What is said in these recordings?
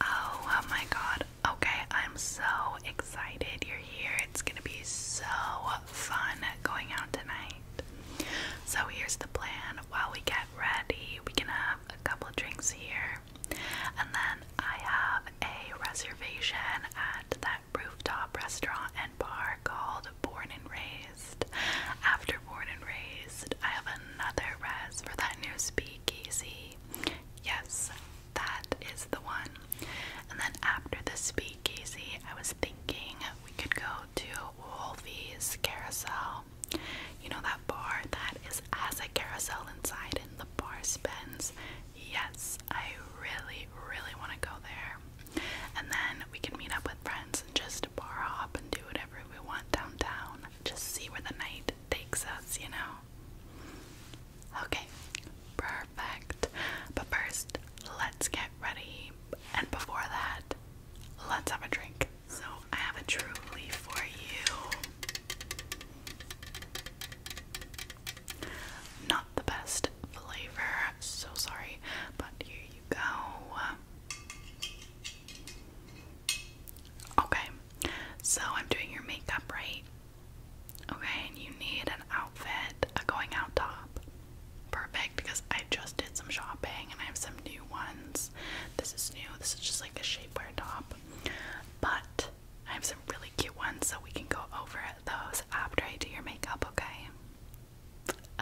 Oh, oh my god. Okay, I'm so excited you're here. It's gonna be so fun going out tonight. So, here's the plan while we get ready, we can have a couple drinks here, and then I have a reservation at that rooftop restaurant and bar called Born and Raised. After Born and Raised, I have another res for that new speakeasy. Yes, that is the one. And then after the speakeasy, I was thinking we could go to Wolfie's Carousel. You know that bar that is has a carousel inside and the bar spins? Yes, I really, really want to go there. And then we can meet up with friends and just bar hop and do whatever we want downtown. Just see where the night takes us, you know? Okay, perfect. But first, let's get ready. And before that, let's have a drink. So I have a truly for you. Not the best flavor, I'm so sorry, but here you go. Okay, so I'm doing your makeup, right? Okay, and you need an outfit, a going out top. Perfect, because I just did some shopping and I have some new ones. This is new, this is just like a shapewear top. But I have some really cute ones, so we can go over those after I do your makeup, okay?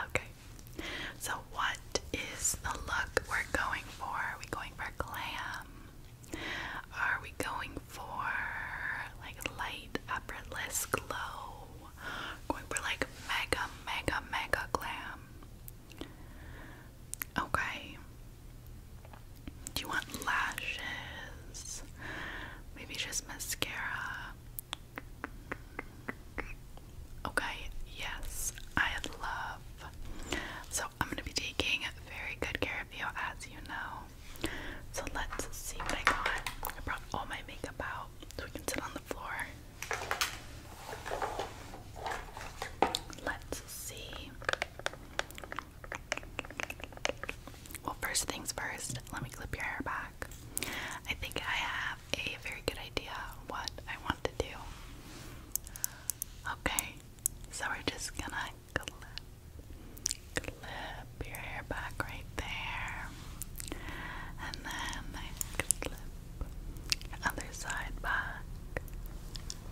Okay. So what is the look we're going for? Are we going for glam? Are we going for like light effortless glow? Going for like mega, mega, mega glam. Okay. Do you want lashes? Maybe just mascara. Okay, yes, I love. So I'm gonna be taking very good care of you as you know. So let's see what I got. I brought all my makeup out so we can sit on the floor. Let's see. Well, first things first, let me clip your hair back. I think I have a very good idea what I want to do. Okay, so we're just gonna clip, your hair back right there, and then the other side back.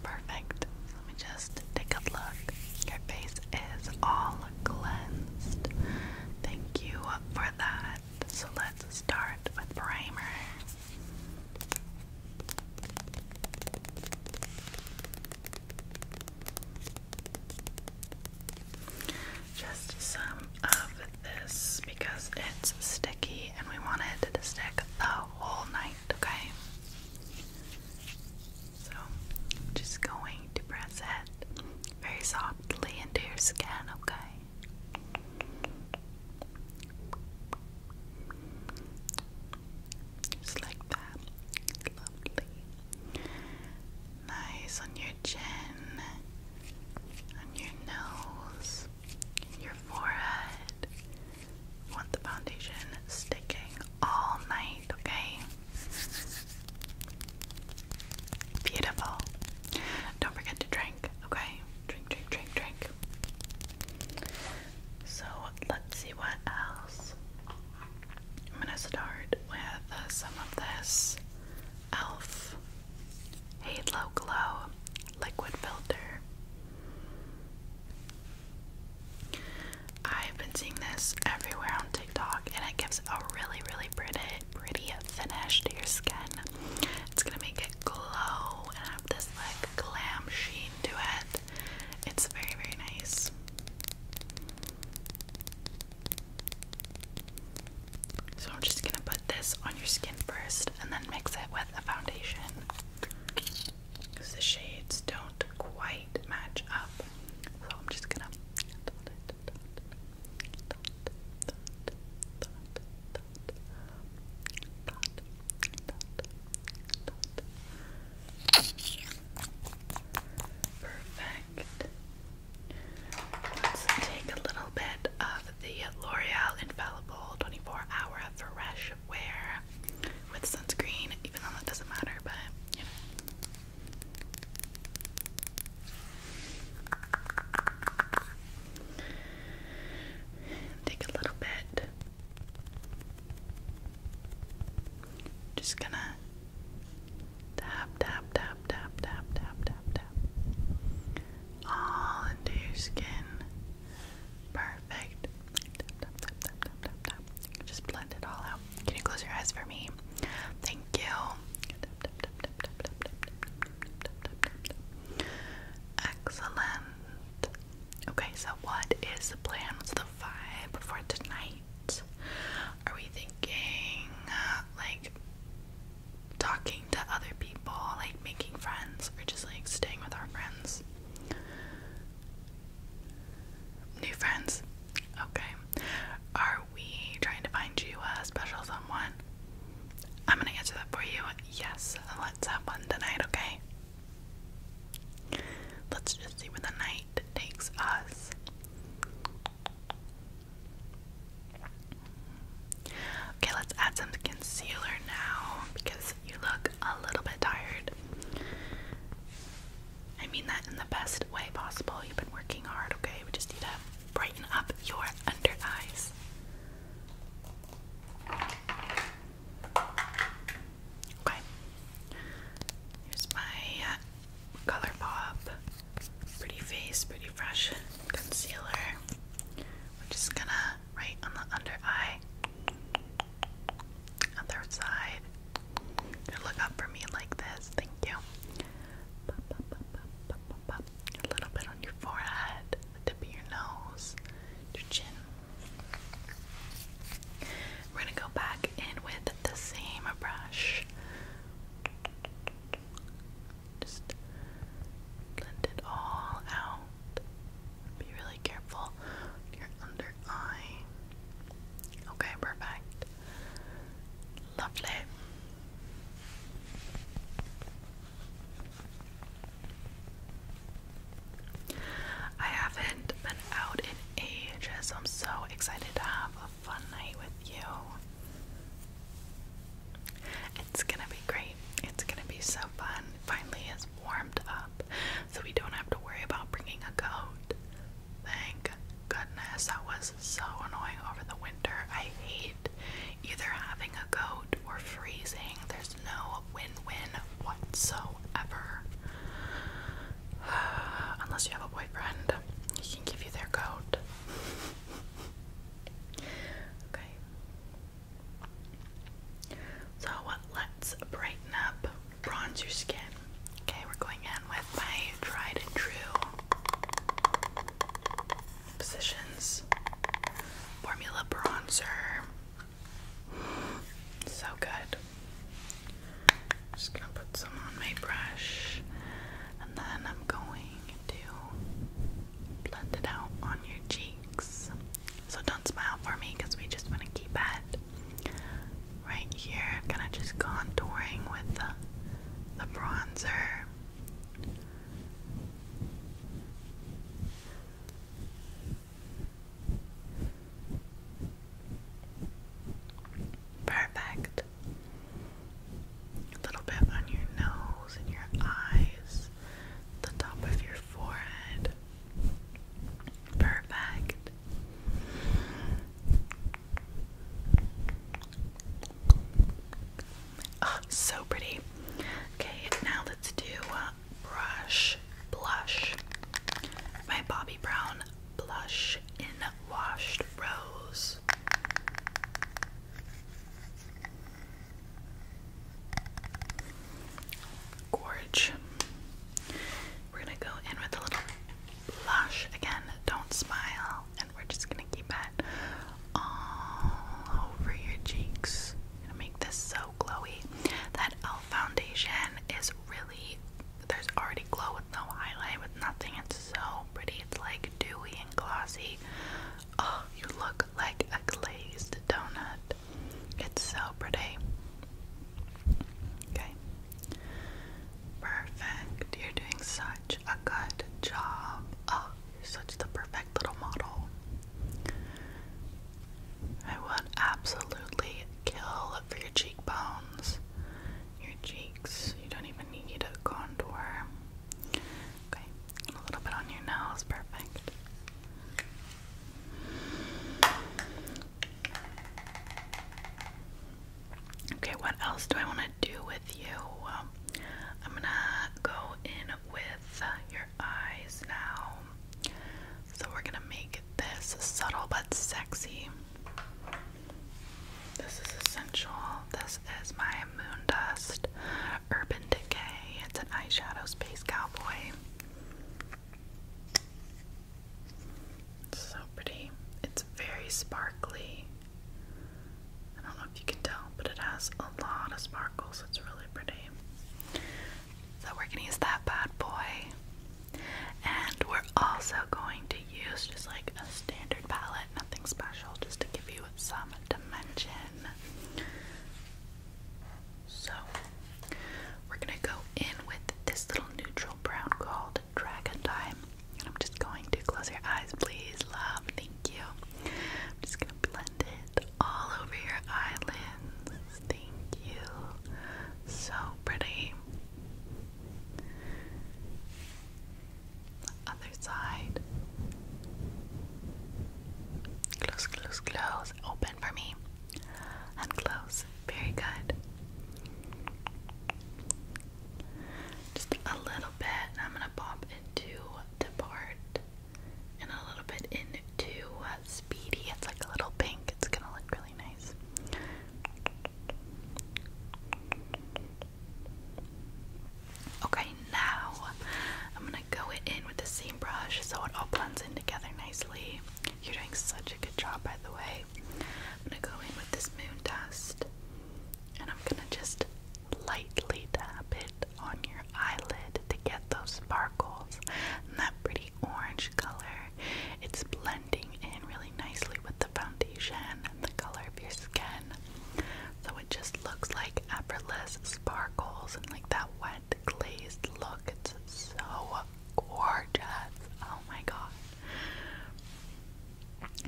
Perfect. Let me just take a look. Your face is all cleansed. Thank you for that. So let's start with primer. Just some of this because it's sticky and we want it to stick the whole night, okay? So, I'm just going to press it very softly into your skin, okay? Just like that. Lovely. Nice on your chin, on your nose, in your forehead. want the foundation sticking all night, okay? Beautiful. Don't forget to drink, okay? Drink, drink, drink, drink. So let's see what else. I'm gonna start with uh, some of this e.l.f. Halo Glow Liquid Filter. I've been seeing this everywhere on TikTok and it gives a really, really pretty pretty finish to your skin. It's gonna make it glow and have this like glam sheen to it. It's very, very nice. So I'm just gonna put this on your skin first and then mix it with the foundation. Because the shades don't quite match up. So I'm just gonna dot it, dot it, Perfect. Let's take a little bit of the L'Oreal Infallible 24 Hour Fresh Wear with sunscreen, even though that doesn't matter, but you know. Take a little bit. Just gonna tap, tap, tap, tap, tap, tap, tap, tap. All into your skin. Perfect. Just blend it all out. Can you close your eyes for me? Thank you. Excellent. Okay, so what is the plan? What's the vibe for tonight? Are we thinking uh, like talking to other people, like making friends, or just like staying with our friends? New friends? Okay. Are are we trying to find you a special someone? I'm gonna answer that for you. Yes, let's have one tonight, okay? Let's just see where the night takes us. Okay, let's add some concealer now because you look a little bit tired. I mean that in the best way possible. You've been working hard, okay? We just need to brighten up your under eyes. Okay, here's my uh, ColourPop Pretty Face, Pretty Fresh Concealer. We're just gonna right on the under eye, other side. Look up for me like this. Thank you a little bit on your forehead, the tip of your nose, your chin. We're going to go back in with the same brush. Just blend it all out. Be really careful your under eye. Okay, perfect. Lovely. I haven't been out in ages, I'm so excited to have a fun night with you. It's gonna be great. It's gonna be so fun. finally, it's warmed up, so we don't have to worry about bringing a coat. Thank goodness. That was so annoying over the winter. I hate Either having a coat or freezing, there's no win win whatsoever. Unless you have a boyfriend, he can give you their coat. okay. So let's brighten up, bronze your skin. Okay, we're going in with my tried and true positions. Formula bronzer. So good. Just gonna put some on my brush and then I'm going to blend it out on your cheeks. So don't smile for me because we just want to keep it right here. Kind of just contouring with the, bronzer. Perfect. A little bit on your nose and your eyes, the top of your forehead. Perfect so pretty. Okay, now let's do uh, brush blush. My Bobbi Brown blush in washed rose. Gorge. We're gonna go in with a little blush again. Don't smile we're just gonna keep it all over your cheeks. gonna make this so glowy. That elf foundation is really there's already glow with no highlight with nothing. It's so pretty. It's like dewy and glossy. Oh, you look like a glazed donut. It's so pretty. Okay. Perfect. You're doing such a good job. Oh, such the perfect little model. I would absolutely kill for your cheekbones, your cheeks. You don't even need a contour. Okay, a little bit on your nose, perfect. Okay, what else do I want to do with with you. Um, I'm gonna go in with your eyes now. So we're gonna make this subtle but sexy. This is essential. This is my Moon Dust Urban Decay. It's an eyeshadow space cowboy. so pretty. It's very sparkly. I don't know if you can tell, but it has a lot of sparkles. It's really pretty. So we're gonna use that bad boy. And we're also going to use just like a standard palette, nothing special, just to give you some dimension. So we're gonna go in with this little neutral brown called Dragon Time. And I'm just going to close your eyes, please, love. Thank you. I'm just gonna blend all over your eyelids. Thank you. So pretty. Other side. Close, close, close. Open for me. And close. Very good. Just a little bit, I'm gonna pop into the part and a little bit into uh, Speedy. It's like a little pink. It's gonna look really nice. Okay, now I'm gonna go it in with the same brush so it all blends in together nicely. You're doing such a good job, by the way. I'm gonna go in with this moon dust and I'm gonna just lightly tap it on your eyelid to get those sparkles and that pretty orange color. It's blending in really nicely with the foundation and the color of your skin. So it just looks like effortless sparkles and like that wet glazed look. It's so gorgeous. Oh my god.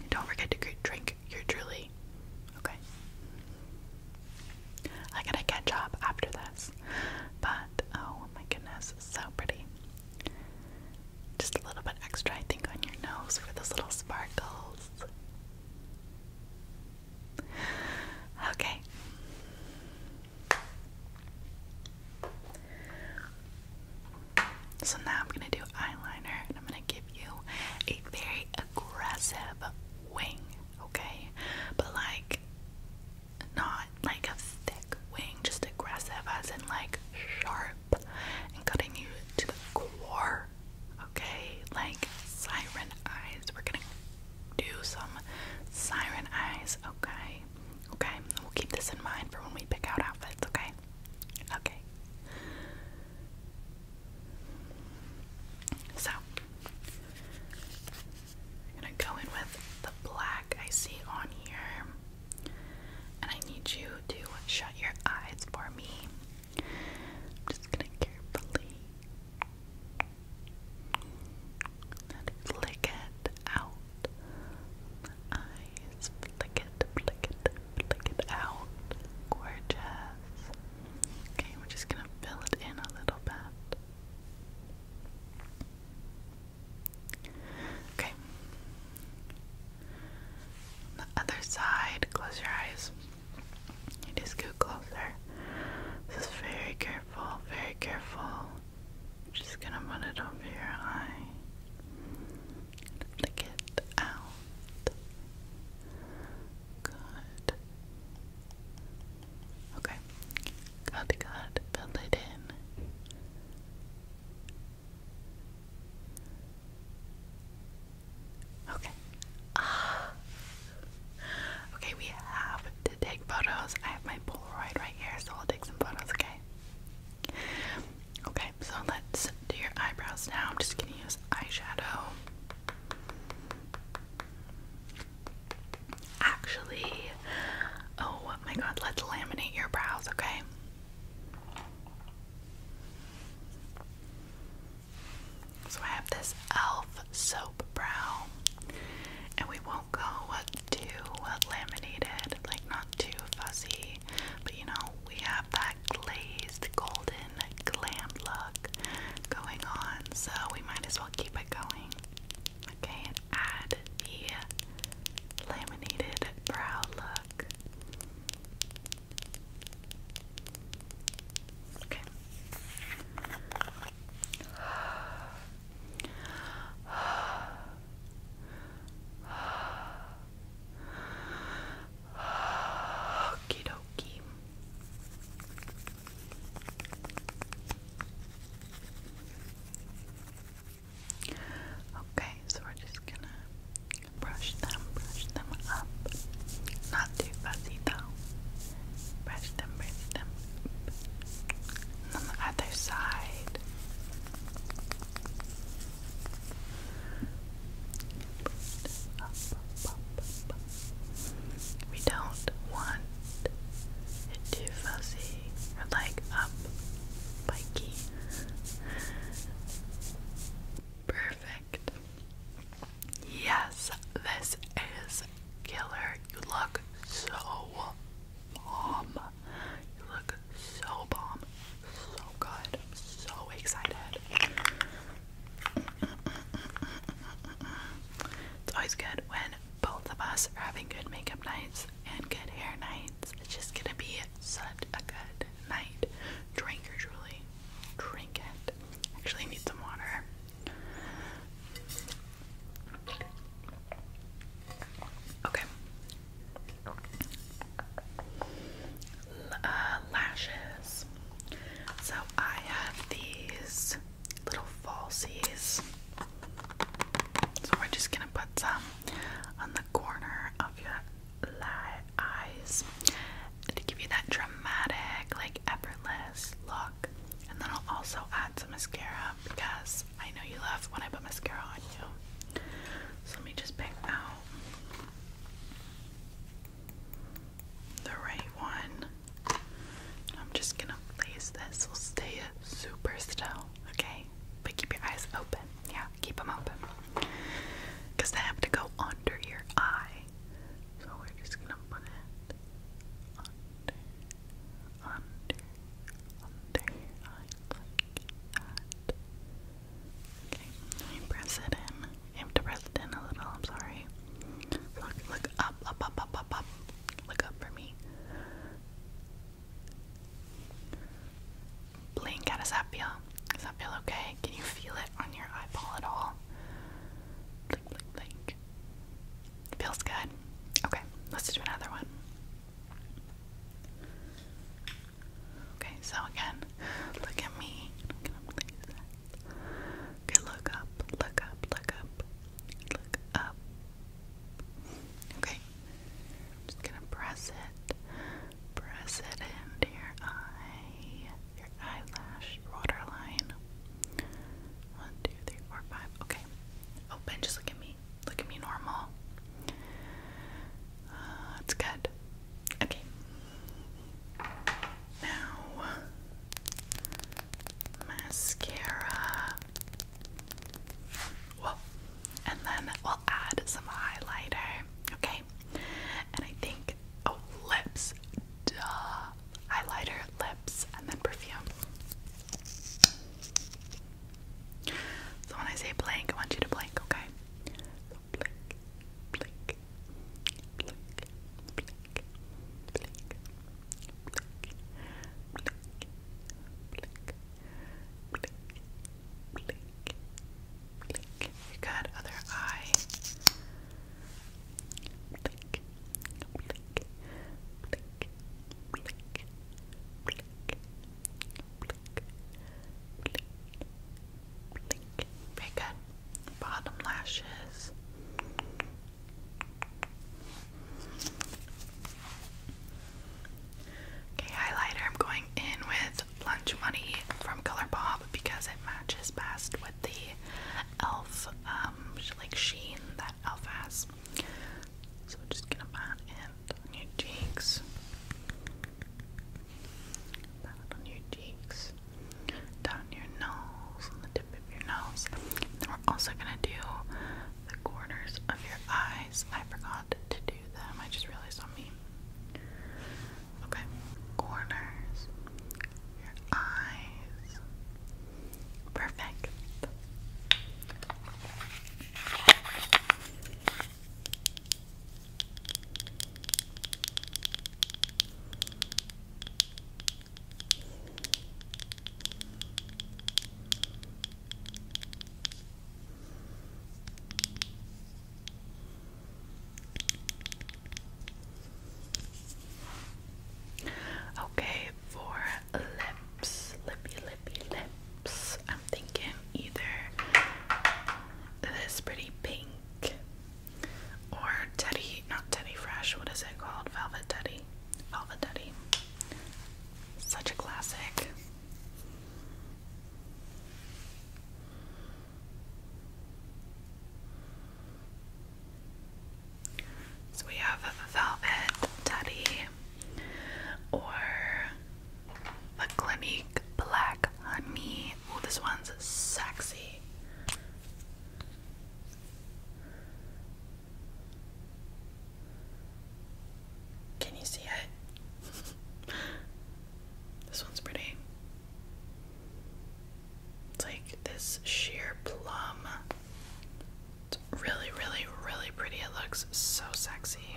Don't forget to drink your truly Okay. I gotta catch up after this. But oh my goodness, so pretty. Just a little bit extra, I think, on your nose for those little sparkles. Okay. So now I'm going to do eyeliner and I'm going to give you a very aggressive wing, okay? But like not like a thick wing, just aggressive as in like sharp and cutting you to the core, okay? Like siren eyes. We're gonna do some siren eyes, okay? Okay, we'll keep this in mind for when we pick out outfits, okay? Okay. So, I'm gonna go in with the black I see on here, and I need you to shut your eyes for me. I'm just gonna carefully flick it out. Eyes, flick it, flick it, flick it out. Gorgeous. Okay, we're just gonna fill it in a little bit. Okay. the other side, close your eyes. You just go closer. Just very careful, very careful. I'm just gonna put it over your eye. Flick it out. Good. Okay. Got got, build it in. Okay. Ah. Okay, we have to take photos. I have my Polaroid right here, so I'll take some photos, okay? Okay, so let's do your eyebrows now. I'm just gonna use eyeshadow. Actually, oh my god, let's laminate your brows, okay? So I have this e.l.f. soap brow, and we won't go uh, too uh, laminated, like not too fussy, but you know, we have that glazed golden glam look going on, so we might as well keep it going. Okay, add the laminated brow look. Okay. Okie dokie. Okay, so we're just gonna brush them, brush them up. Not too fuzzy though. Brush them, brush them up. And on the other side. Brush them up, brush we don't want it too fuzzy or like up, spiky. Perfect. Yes, this is killer. You look so bomb. You look so bomb. So good. I'm so excited. It's always good when both of us are having good makeup nights and good hair nights. It's just gonna be such a good night. Drink or truly. Drink it. Actually, need some water. Okay. uh, lashes. So I have these little falsies. So we're just gonna put some on the corner of your eyes to give you that dramatic, like effortless look. And then I'll also add some mascara because I know you love when I put mascara on you. So let me just pick out the right one. I'm just gonna place this. We'll stay super still, okay? But keep your eyes open. Yeah, keep them open. Because they have to go under your eye. So we're just gonna put it under, under, under your eye Okay, press it in. I have to press it in a little, I'm sorry. Look, look Look up, up, up, up, up, up. Look up for me. Blink, how does that feel? Does that feel okay? Can you feel it on your eyeball at all? Blink, blink, blink. Feels good. Okay, let's do another one. Okay, so again, look at me. Look at Okay, look up, look up, look up, look up. Okay. just gonna press it. Press it into your eye. Your eyelash, waterline. One, two, three, four, five. Okay. Open, just look at me. Look at me normal. Uh, good. Okay. Now mascara. And then we'll add some highlighter. Okay. And I think oh lips. Duh. Highlighter, lips, and then perfume. So when I say blank, I want you to blank, okay? So blink, blink, blink, blink, blink, blink, blink, Good other eye. Very good. Bottom lashes. Okay, highlighter. I'm going in with Lunch Money from ColourPop because it matches best with the e.l.f. Um, like sheen that e.l.f. has. So we're just gonna pat it on your cheeks. Pat it on your cheeks, down your nose, we're also gonna do the corners of your eyes. I forgot to do them. I just realized on me. Okay, corners, your eyes. Perfect. Okay, for lips, lippy, lippy, lips, I'm thinking either this pretty pink or Teddy, not Teddy Fresh, what is it called? Velvet Teddy. Duddy. Velvet Duddy. Such a classic. So we have Velvet Teddy or the Clinique Black Honey. Oh, this one's sexy. Can you see it? this one's pretty. It's like this sheer plum. It's really, really, really pretty. It looks so sexy.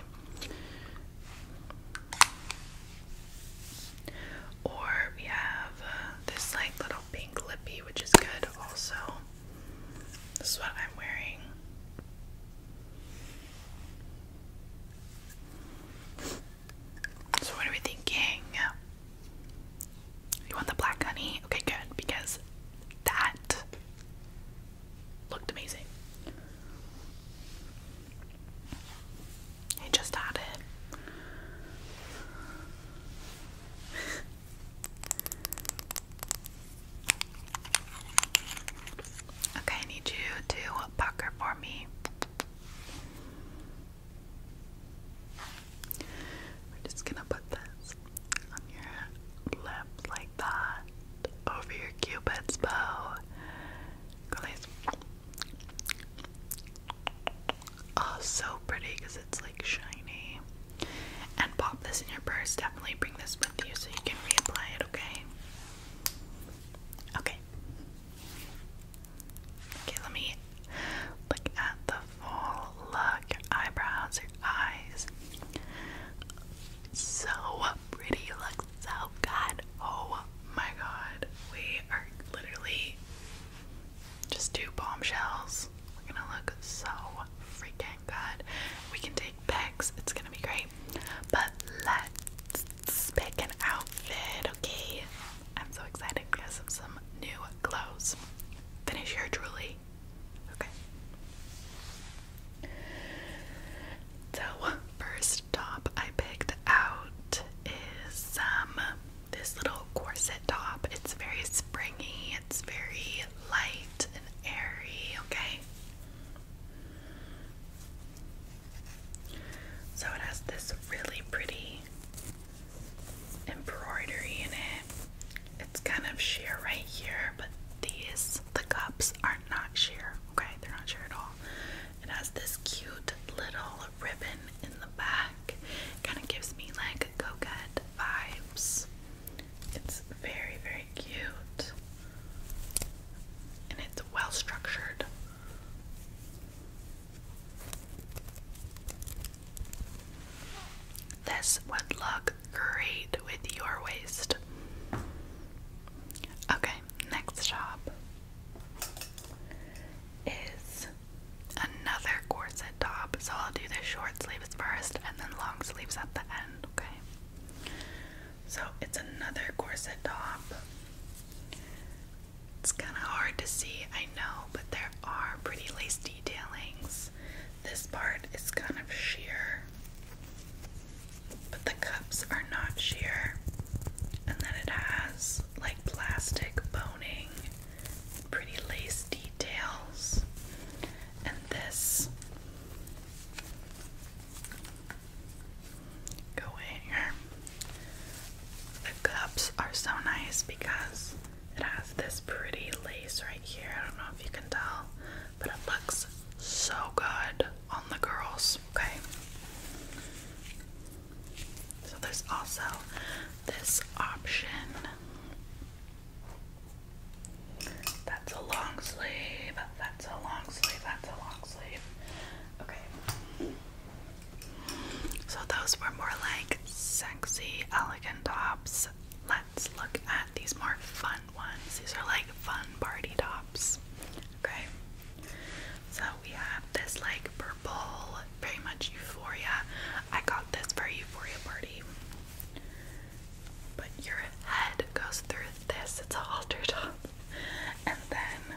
Or we have uh, this like little pink lippy, which is good also. This is what I'm wearing. So, what are we thinking? You want the black honey? Okay, good, because that looked amazing. I just had it. Okay, I need you to pucker for me. We're just gonna put this on your lip like that, over your cupid's bow. Guys, oh, so pretty because it's like shiny. And pop this in your purse. Definitely bring this with you so you can reapply it, okay? Okay. Okay, let me look at the full look. Your eyebrows, your eyes. So pretty. You so good. Oh my god. We are literally just two bombshells. We're gonna look so freaking good. We can take pics, it's gonna be great. But let's pick an outfit, okay? I'm so excited because of some new clothes. Finish here, truly. Okay. So, first top I picked out is um this little corset top. It's very springy, it's very light, and airy, okay? So it has this really pretty embroidery in it. It's kind of sheer right here, but these, the cups, are not sheer, okay? They're not sheer at all. It has this cute little ribbon in the back. Kind of gives me like coquette vibes. It's very, very cute and it's well structured. This would look great with your waist. Okay, next shop is another corset top. So I'll do the short sleeve first and then long sleeves at the end, okay? So it's another corset top. It's kind of hard to see, I know, but there are pretty lace detailing. This part is kind of sheer, but the cups are not sheer. And then it has like plastic boning, pretty lace details and this. Go in here. The cups are so nice because it has this pretty lace right here. I don't know if you can tell, but it looks so good on the girls. Okay. So there's also this option that's a long sleeve. That's a long sleeve. That's a long sleeve. Okay. So those were more like sexy, elegant tops. Let's look at these more fun ones. These are like fun party tops. Okay. So we have this like purple, very much euphoria. I got this for euphoria party but your head goes through this, it's all altered, top, and then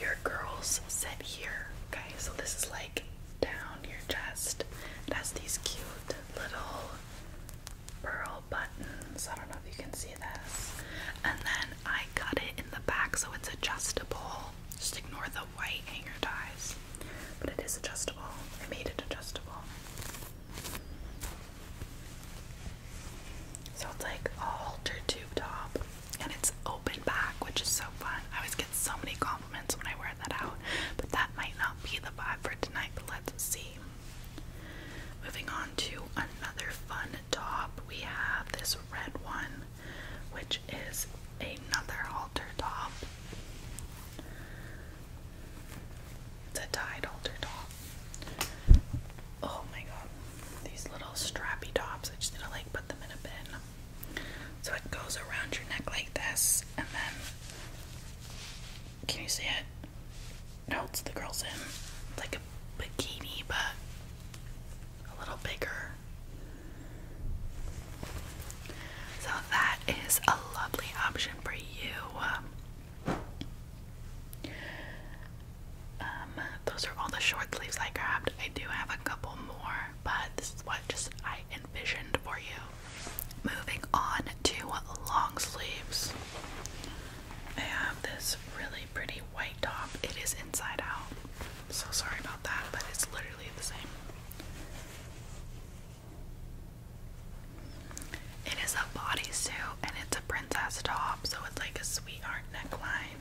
your girls sit here. Okay, so this is like down your chest. It has these cute little pearl buttons. I don't know if you can see and then I cut it in the back so it's adjustable. Just ignore the white hanger ties. But it is adjustable. I made it adjustable. So it's like a halter tube top and it's open back, which is so fun. I always get so many compliments when I wear that out, but that might not be the vibe for tonight, but let's see. Moving on to another fun top, we have this red one, which is another halter top. It's a tied halter top. Oh my god, these little strappy tops. I just need to like put them in a bin. So it goes around your neck like this, and then can you see it? holds the girls in. like a bikini, but a little bigger. So that is a lovely option for you. Um, um, those are all the short sleeves I grabbed. I do have a couple more, but this is what just I envisioned for you. Moving on to long sleeves. I have this really really pretty white top. It is inside out. So sorry about that, but it's literally the same. It is a bodysuit and it's a princess top, so it's like a sweetheart neckline.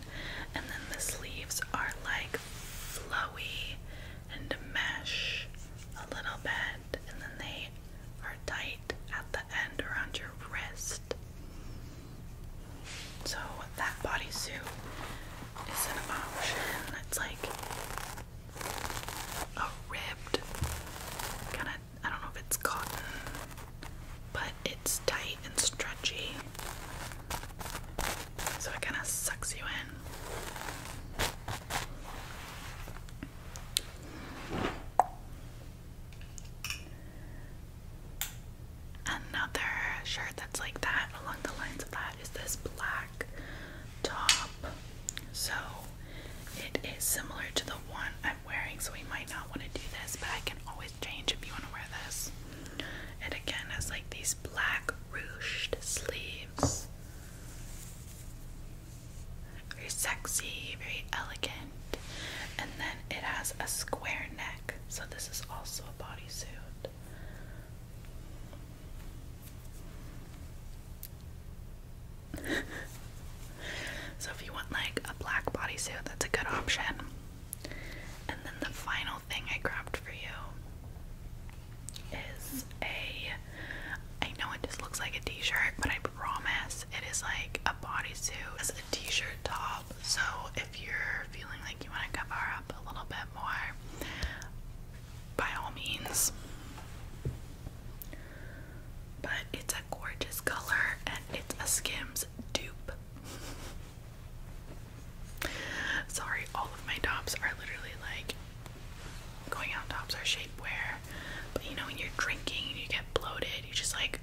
And then the sleeves are like flowy and mesh a little bit, and then they are tight at the end around your wrist. So that bodysuit is an option. It's like a ribbed kind of I don't know if it's cotton, but it's tight and stretchy. So it kind of sucks you in. Another shirt that's like that, along the lines of that, is this black top. So it is similar to the one I'm wearing, so we might not want to do this, but I can always change if you want to wear this. It again has like these black ruched sleeves. Very sexy, very elegant and then it has a square neck. So this is also a bodysuit. so if you want like a black bodysuit, that's a good option. And then the final thing I grabbed for you is a I know it just looks like a t-shirt, but I promise it is like a bodysuit It's a t-shirt top so if you're feeling like you want to cover up a little bit more, by all means. But it's a gorgeous color and it's a Skims dupe. Sorry, all of my tops are literally like going out tops are shapewear. But you know when you're drinking and you get bloated, you just like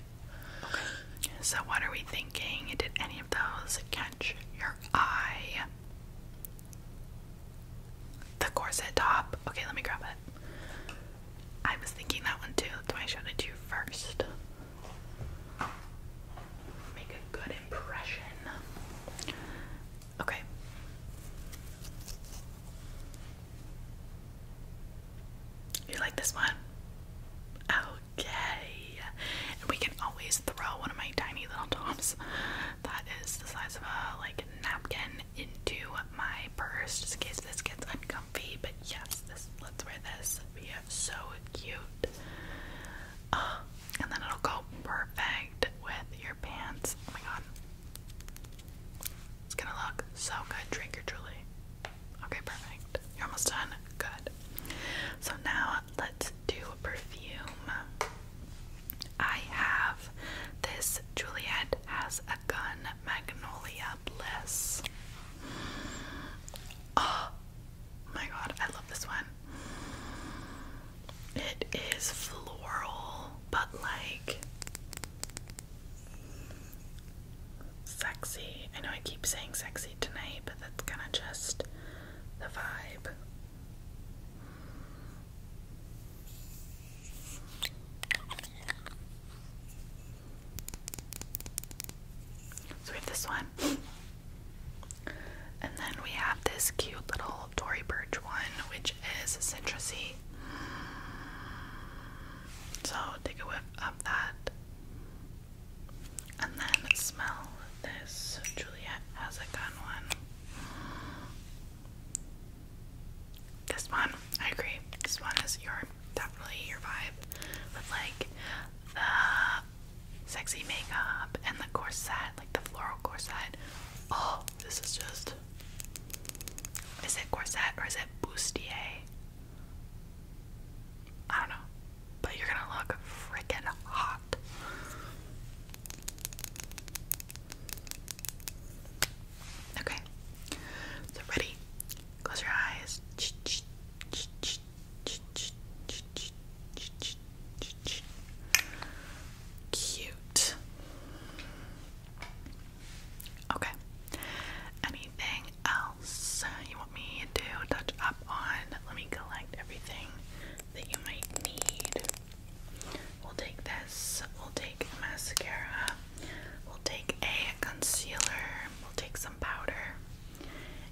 so, what are we thinking? Did any of those catch your eye? The corset top. Okay, let me grab it. I was thinking that one too. That's why I showed it to you first. Make a good impression. Okay. You like this one? Oh, okay. And we can always throw one of my tiny little tops that is the size of a like napkin into my purse just in case this gets uncomfy. But yes, this let's wear this. Be so cute. and then it'll go perfect with your pants. Oh my god. It's gonna look so good, drink Julie. Okay, perfect. You're almost done. Good. So now let's do a perfume. I have this Juliet has a gun Magnolia Bliss. Oh my god, I love this one. It is floral, but like sexy. I know I keep saying sexy tonight, but that's kind of just the vibe. So we have this one. And then we have this cute little Tory Birch one, which is citrusy. So take a whiff of that. And then smell this. Juliet has a gun one. This one, I agree. This one is your definitely your vibe with like the sexy makeup and the corset, like the floral corset. Oh, this is just. Is it corset or is it bustier? I don't know. But you're gonna look freaking hot. Okay. So, ready? Close your eyes. Cute. Okay. Anything else? you want me to touch up on. Let me collect everything that you might need. We'll take this, we'll take mascara, we'll take a concealer, we'll take some powder,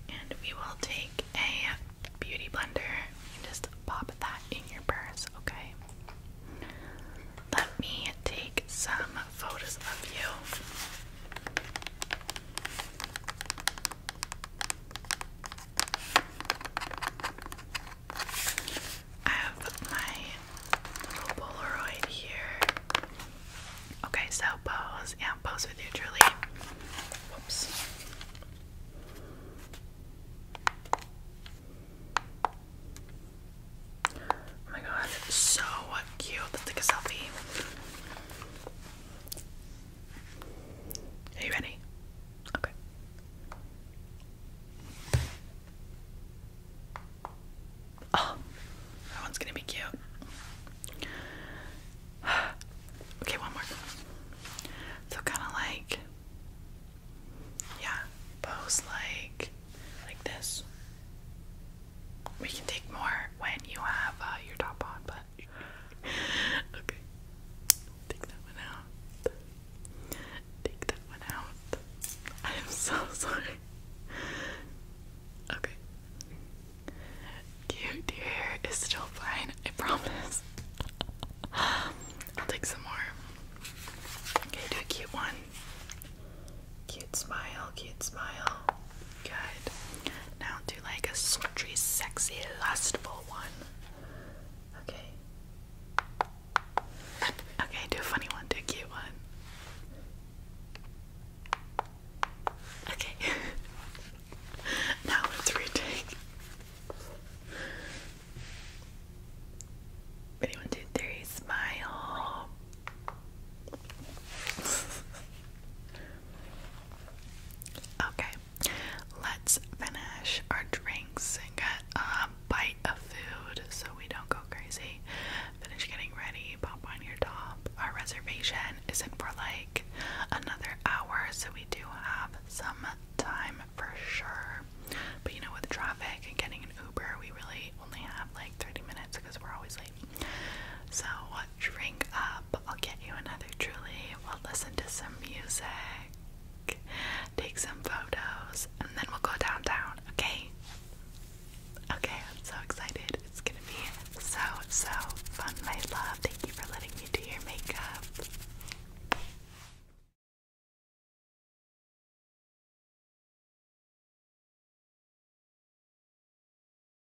and we will take a beauty blender and just pop that in your purse, okay? Let me take some photos of you. I have my little Polaroid here. Okay, so pose. Yeah, pose with you Julie. Whoops. Oh my god, so cute. Let's take a selfie. Are you ready? Okay. Oh, that one's gonna be cute. okay, one more. So kind of like, yeah, pose like, like this. We can take more when you have uh, your top on, but okay. Take that one out. Take that one out. I am so sorry. Okay. Cute, your hair is still fine, I promise. I'll take some more. Okay, do a cute one. Cute smile, cute smile. Good. Now do like a sultry, sexy, lustful one. Okay. Okay, do a funny one, do a cute one. Okay. now let's retake. one, two, three, smile. Okay, let's finish our drinks and get a bite of food so we don't go crazy. Finish getting ready, pop on your top. Our reservation isn't for like another hour, so we do have some time for sure. But you know, with traffic and getting an Uber, we really only have like 30 minutes because we're always late. So, drink up up. I'll get you another Truly. We'll listen to some music, take some photos, and then we'll go downtown, okay? Okay, I'm so excited. It's gonna be so, so fun, my love. Thank you for letting me do your makeup.